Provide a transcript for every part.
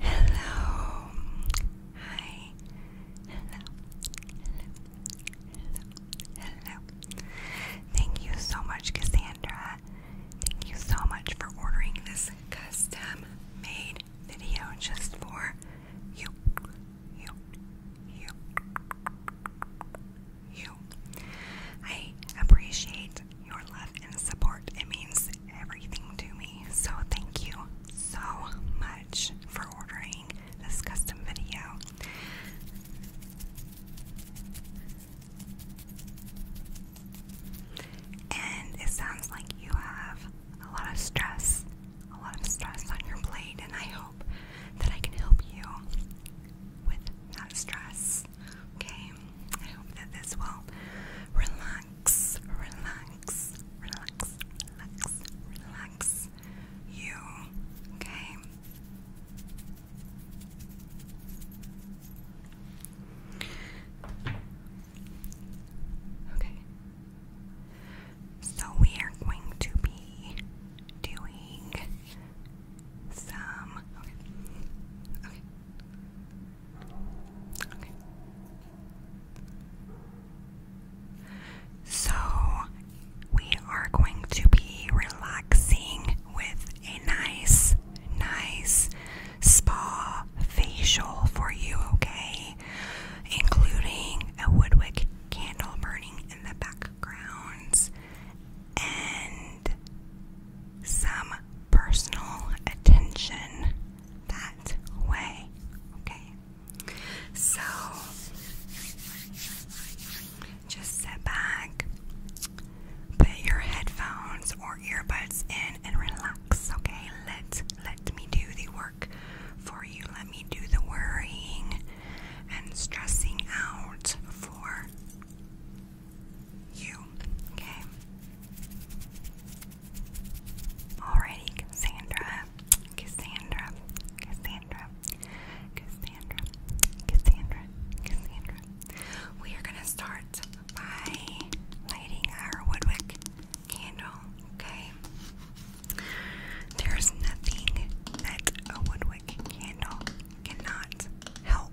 Hello. Hi. Hello. Hello. Hello. Hello. Thank you so much, Cassandra. Thank you so much for ordering this custom made video just for you. You. You. You. I appreciate your love and support. It means everything to me. So thank you so much for ordering this custom video. And it sounds like you have a lot of stress, a lot of stress on your plate, and I hope that I can help you with that stress. Okay. I hope that this will relax, relax, relax, relax, relax you. Okay. Okay. So we are going to be doing some okay. Okay. So, we are going to be relaxing with a nice, nice spa facial for you, okay? Including a Woodwick candle burning in the background and some personal attention that way. Okay? So, just sit back, put your headphones or earbuds in, and relax. Okay? Let, let me do the work for you. Let me do the worrying and stressing out for you. Okay? Alrighty, Cassandra, Cassandra, Cassandra, Cassandra, Cassandra, Cassandra. We are gonna start by lighting our Woodwick candle, okay? There's nothing that a Woodwick candle cannot help.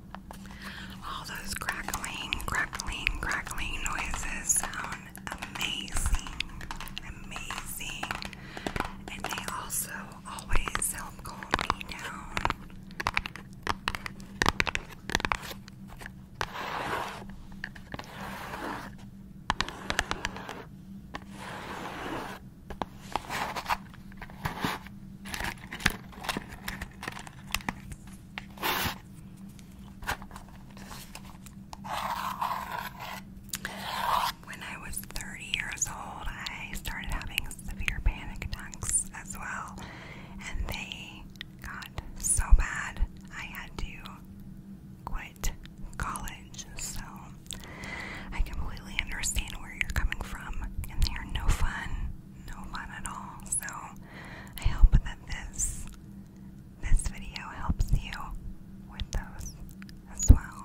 All those crackling, crackling, crackling noises sound amazing, amazing, and they also always help calm me down. When I was 30 years old, I started having severe panic attacks as well, and they got so bad I had to quit college. So I completely understand where you're coming from, and they are no fun no fun at all. So I hope that this this video helps you with those as well.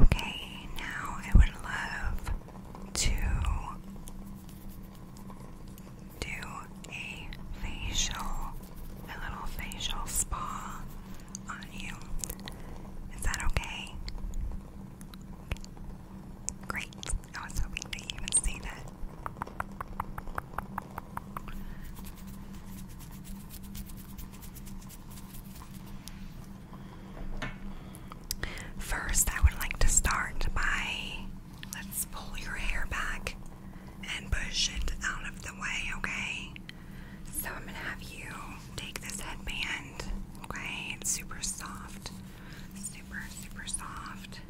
Okay, now I would love to do a facial, a little facial spa on you. Is that okay? Great. I was hoping that you would see that. First, I would like to start by let's pull your hair back and push it out of the way, okay? So, I'm gonna have you take this headband, okay? It's super soft, super, super soft.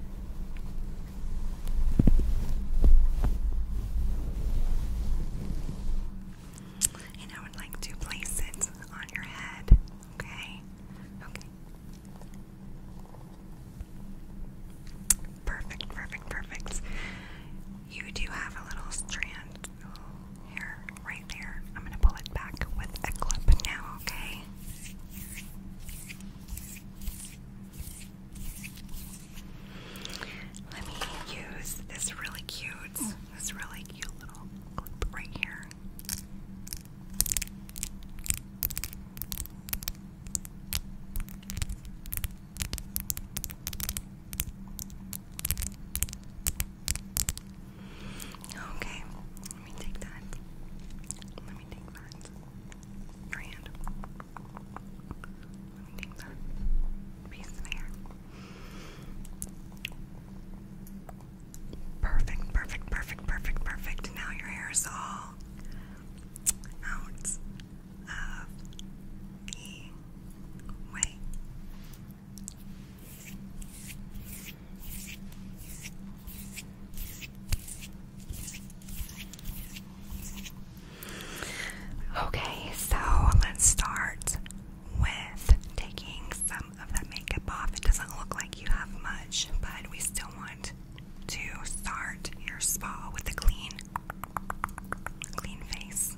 And I would like to place it on your head. Okay? Okay. Perfect, perfect, perfect. You do have a little strand a right there. I'm going to pull it back with a clip now, okay? Let me use this really cute, this really cute little clip right here. Okay, let me take that. Let me take that. Your hand limiting the Perfect, perfect, perfect, perfect, perfect. Now your hair is all out of the way. Okay, so let's start with taking some of that makeup off. It doesn't look like you have much, but we still want to start your spa with a clean, clean face.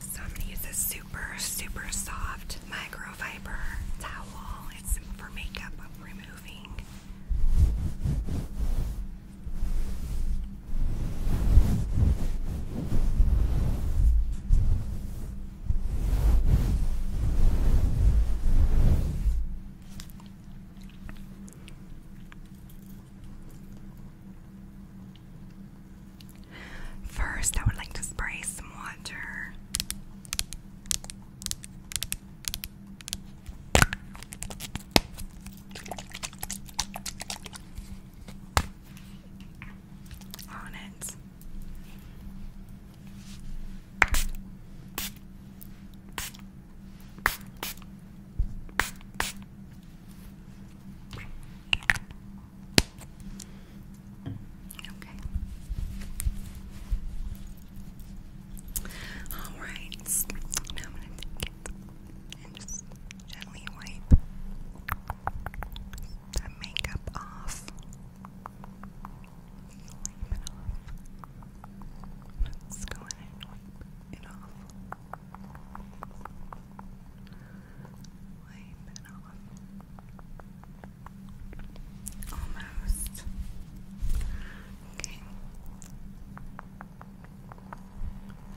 So I'm gonna use a super, super soft microfiber towel. It's for makeup removing. First, I would like to spray some water on it. Okay. All right. Now I'm gonna take it and just gently wipe the makeup off. Wipe it off. Let's go ahead it off. Wipe it off. Almost. Okay.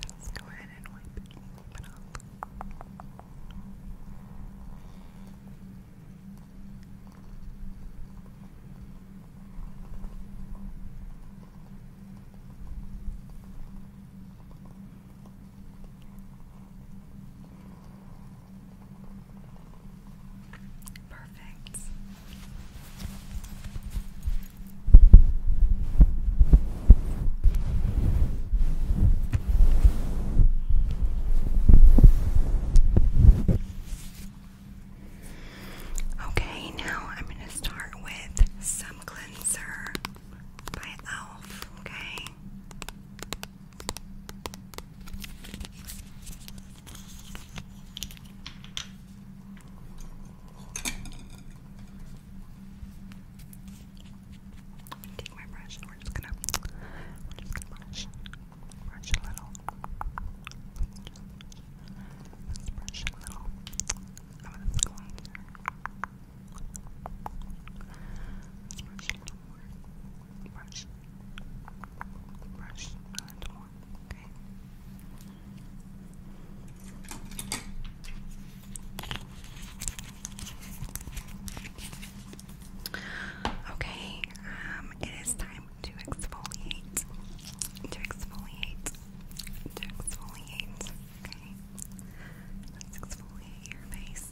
Let's go ahead and wipe it, Perfect. Okay, now I'm going to start with some cleanser by e.l.f. Okay. Take my brush and we're just gonna, we're just gonna brush, brush a little. brush a little. Oh, I'm going brush a little more. Brush, brush a little more. Okay. Okay, um, it is time to exfoliate. To exfoliate. To exfoliate. Okay. Let's exfoliate your face.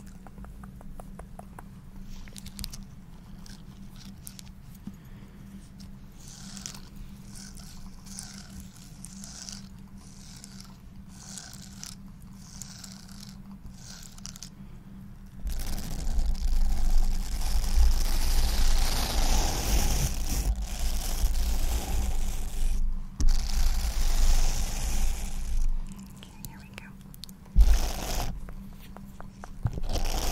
Okay, here we go. Okay,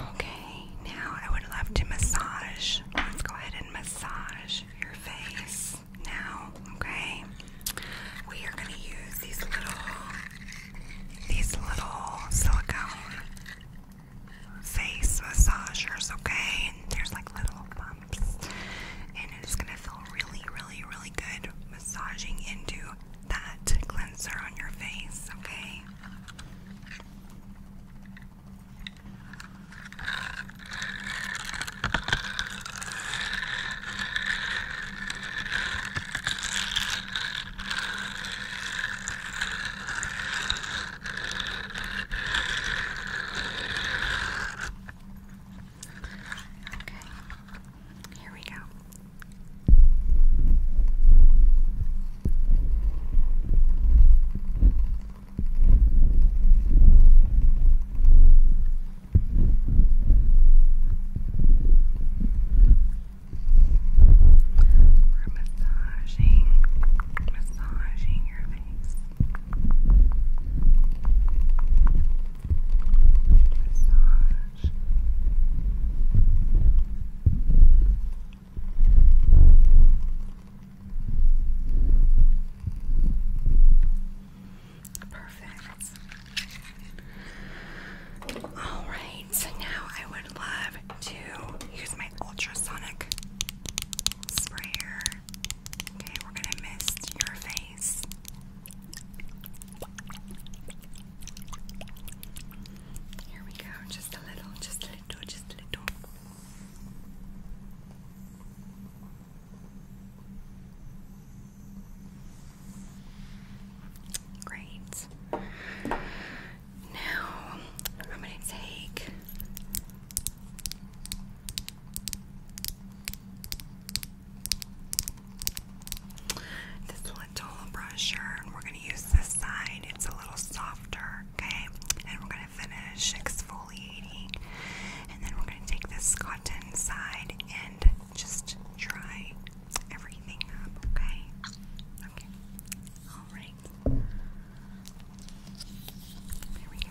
Okay, now I would love to massage. Let's go ahead and massage your face now, okay? We are going to use these little these little silicone face massagers, okay? there's like little bumps and it's gonna feel really, really, really good massaging into that cleanser on your face, okay? Okay, here we go. We're massaging, massaging your face massage. Perfect. All right, so now I would love to use my ultrasonic sprayer Okay, we're gonna mist your face. Here we go, just a little, just a little, just a little. Great. Now I'm going to take this little brusher, and we're going to use this side. It's a little softer, okay? And we're going to finish exfoliating. And then we're going to take this cotton side and just dry everything up, okay? Okay. Alright. There we go.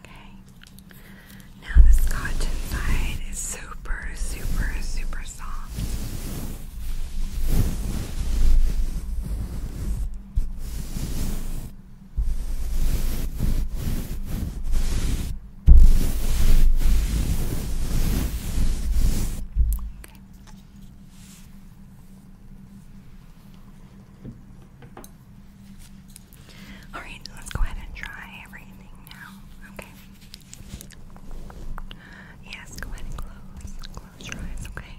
Okay. Now this cotton side is super, super, super soft. Okay. Okay. All right, let's go ahead and try everything now. Okay. Yes, go ahead and close. Close your eyes, okay? Okay.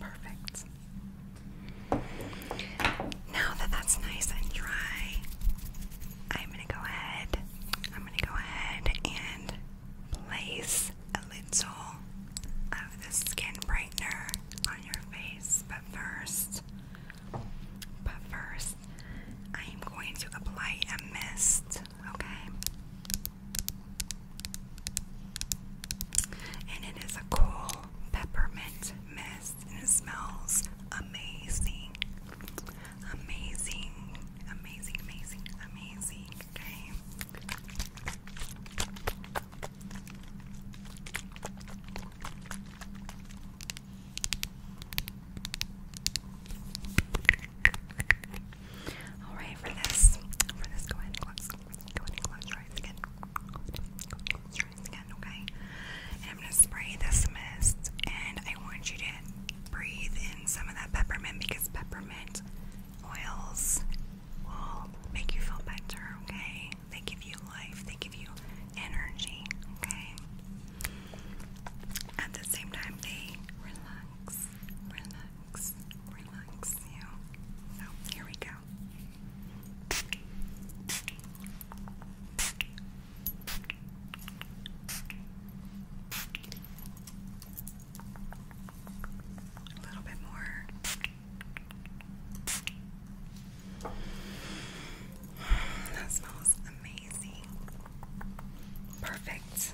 Perfect. Now that that's nice and dry, I'm going to go ahead. I'm going to go ahead and place a little of the skin brightener on your face, but first, but first, I am going to apply a mist, okay? And it is a cool peppermint mist, and it smells amazing, amazing, amazing, amazing, amazing, okay? All right, for this, for this, go ahead and close, go ahead and close your eyes again. okay? I'm gonna spray this mist, and I want you to breathe in some of that peppermint because peppermint oils will make you feel better, okay? They give you life, they give you energy, okay? At the same time, they relax, relax, relax you. So, here we go. A little bit more. That smells amazing. Perfect.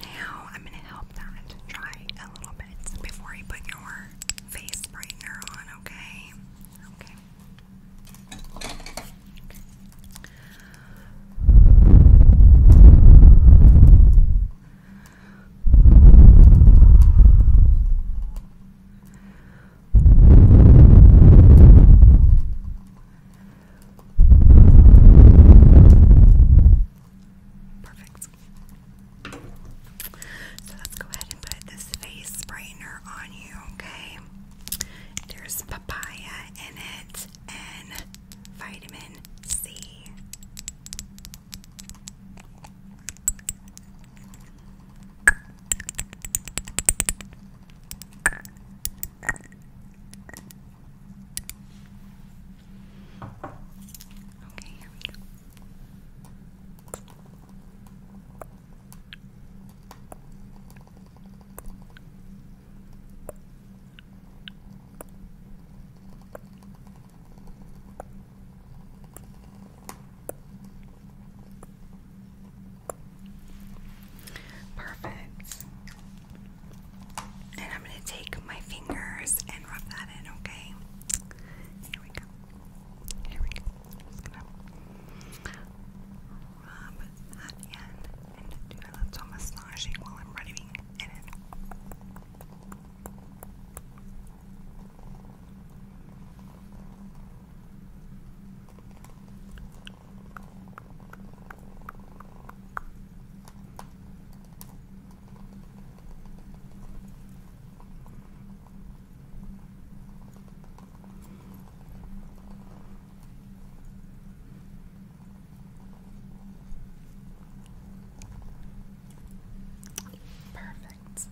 Now I'm going to help that dry a little bit before you put your face brightener on, okay? Okay. Perfect. So let's go ahead and put this face straightener on you, okay? There's papaya in it and vitamin C. Okay, Perfect. And I'm going to take my fingers and rub that in, okay? Here we go. Here we go rub that in and do a little massaging while I'm rubbing it Perfect.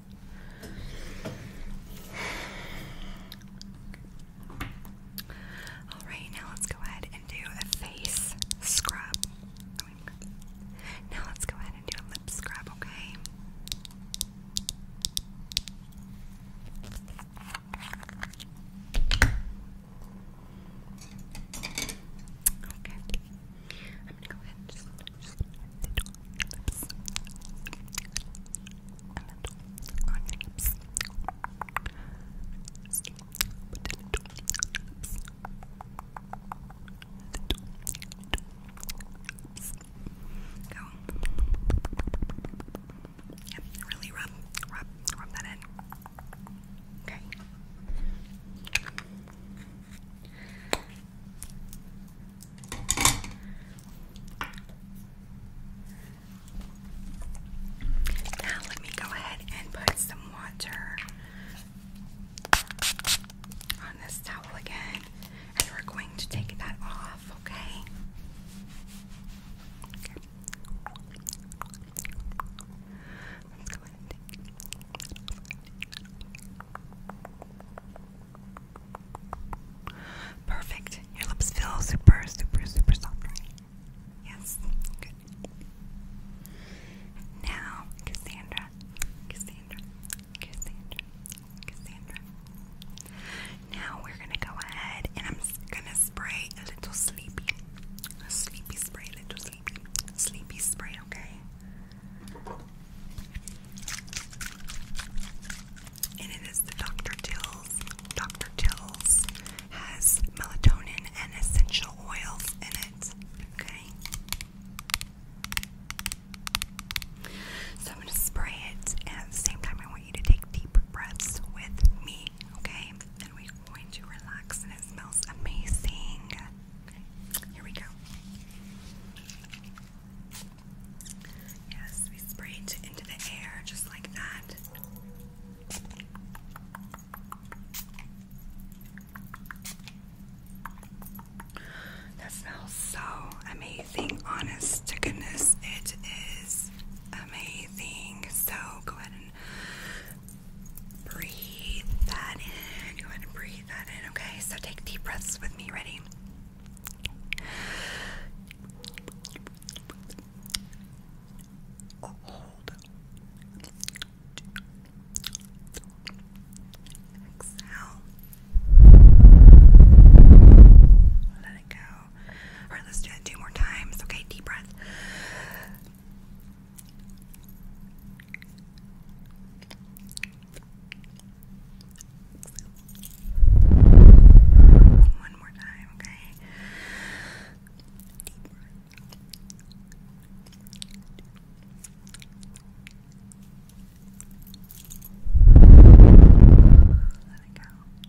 Alright, now let's go ahead and do a face scrub. Now let's go ahead and do a lip scrub, okay? Okay. I'm gonna go ahead and just, just lips. A little on your lips. Just put a little on your lips. Little, little lips. Go. Good. Yep, really rub, rub, rub that in. Okay. Now let me go ahead and put some water on this towel again, and we're going to take that off, okay? Okay. Perfect. Your lips feel super, super, super soft, Yes. Good. Now, Cassandra, Cassandra, Cassandra, Cassandra. Now we're gonna go ahead and I'm gonna spray a little sleepy. sleepy spray, a little sleepy. Sleepy spray, okay? And it is the Dr. Till's. Dr. Till's has melatonin and essential oils in it, okay? So I'm going to spray it, and at the same time, I want to take deep breaths with me, okay? And we're going to relax, and it smells amazing. here we go. Yes, we spray into the air just like that. That smells so amazing, honest to goodness. It is amazing. So go ahead breathe that in. Go ahead and breathe that in, okay? So take deep breaths with me. Ready? Hold. Exhale. Let it go. All right, let's do it two more times. Okay, deep breath. One more time, okay? Let it go.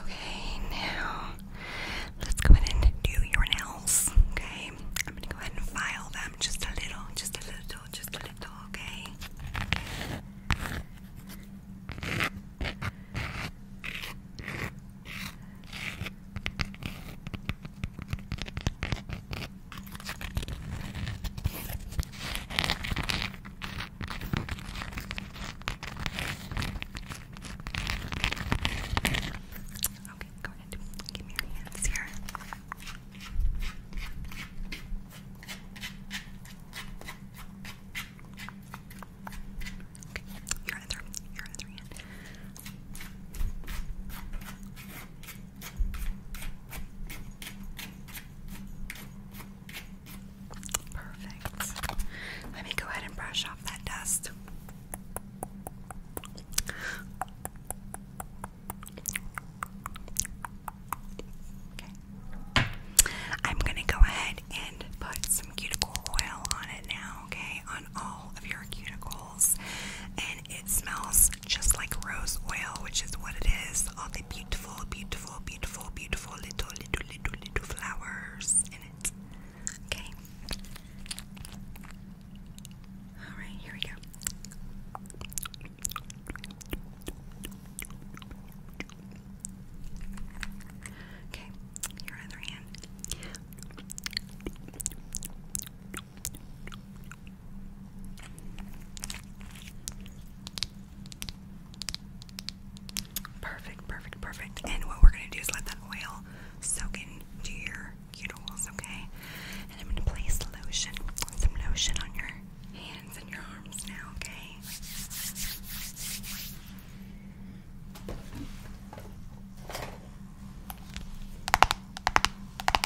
Okay, now let's go ahead and do your nails. Okay, I'm gonna go ahead and file them just a little, just a little, just a little. Okay. Okay, go ahead. Give me your hands here. Okay, your other, your other hand. Perfect. Let me go ahead and brush off that dust. I'm going to go ahead and put some cuticle oil on it now, okay? On all of your cuticles it smells just like rose oil, which is what it is. All the beautiful, beautiful, beautiful, beautiful little, little, little, little flowers in it. Okay. All right, here we go. Okay, your other hand. Perfect, perfect, perfect. And what we're gonna do is let that oil soak into your cuticles, okay? And I'm gonna place lotion, some lotion on your hands and your arms now, okay?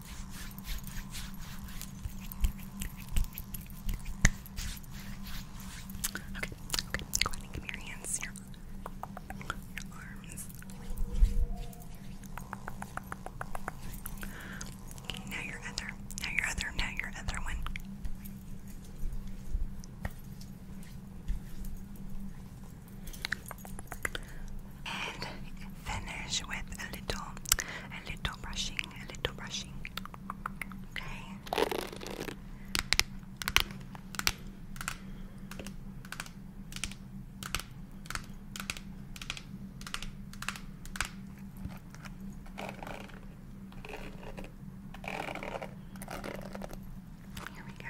Okay, okay, go ahead and give me your hands, your, arms. now your other, now your other, now your other one and finish with a little, a little brushing, a little brushing. Okay. Here we go.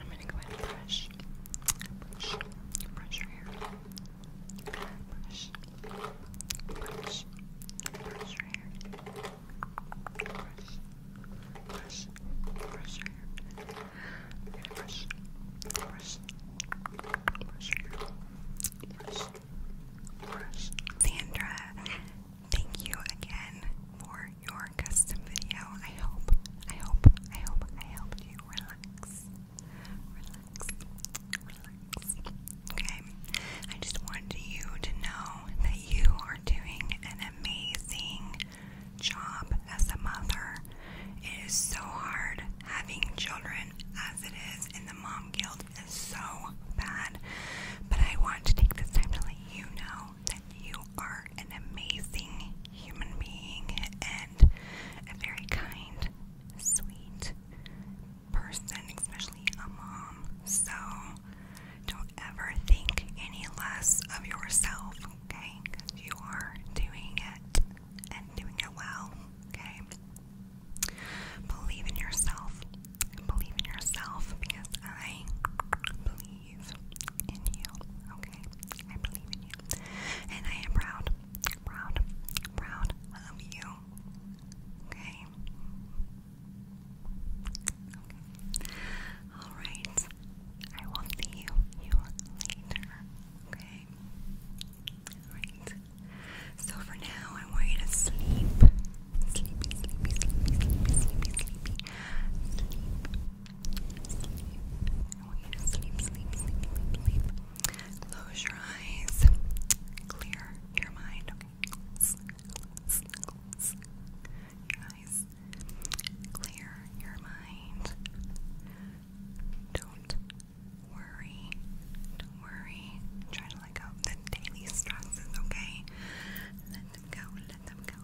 I'm gonna go ahead and brush, brush, brush your hair, brush, brush, brush your hair, brush, brush, brush your hair. brush, brush, brush. Sandra, thank you again for your custom video. I hope, I hope, I hope I helped you relax. Relax. Relax. Okay. I just wanted you to know that you are doing an amazing job as a mother. It is so hard having children as it is, and the mom guilt is so bad. But I want to take this time to let you know that you are an amazing human being and a very kind, sweet person, especially a mom. So don't ever think any less of yourself, okay? you are doing it and doing it well, okay? Believe in yourself. Believe in yourself because I believe believe in you, okay? I believe in you. And I am proud, proud, proud of you, okay? Alright. I will see you, later, okay? Alright. So for now, I want you to sleep. Sleepy, sleepy, sleepy, sleepy, Sleep. I want you to sleep, sleep, sleep, sleep, sleep. Close your eyes. Clear your mind. close your eyes. Clear your mind. Don't worry. Don't worry. Try to let go of the daily stresses, okay? Let them go. Let them go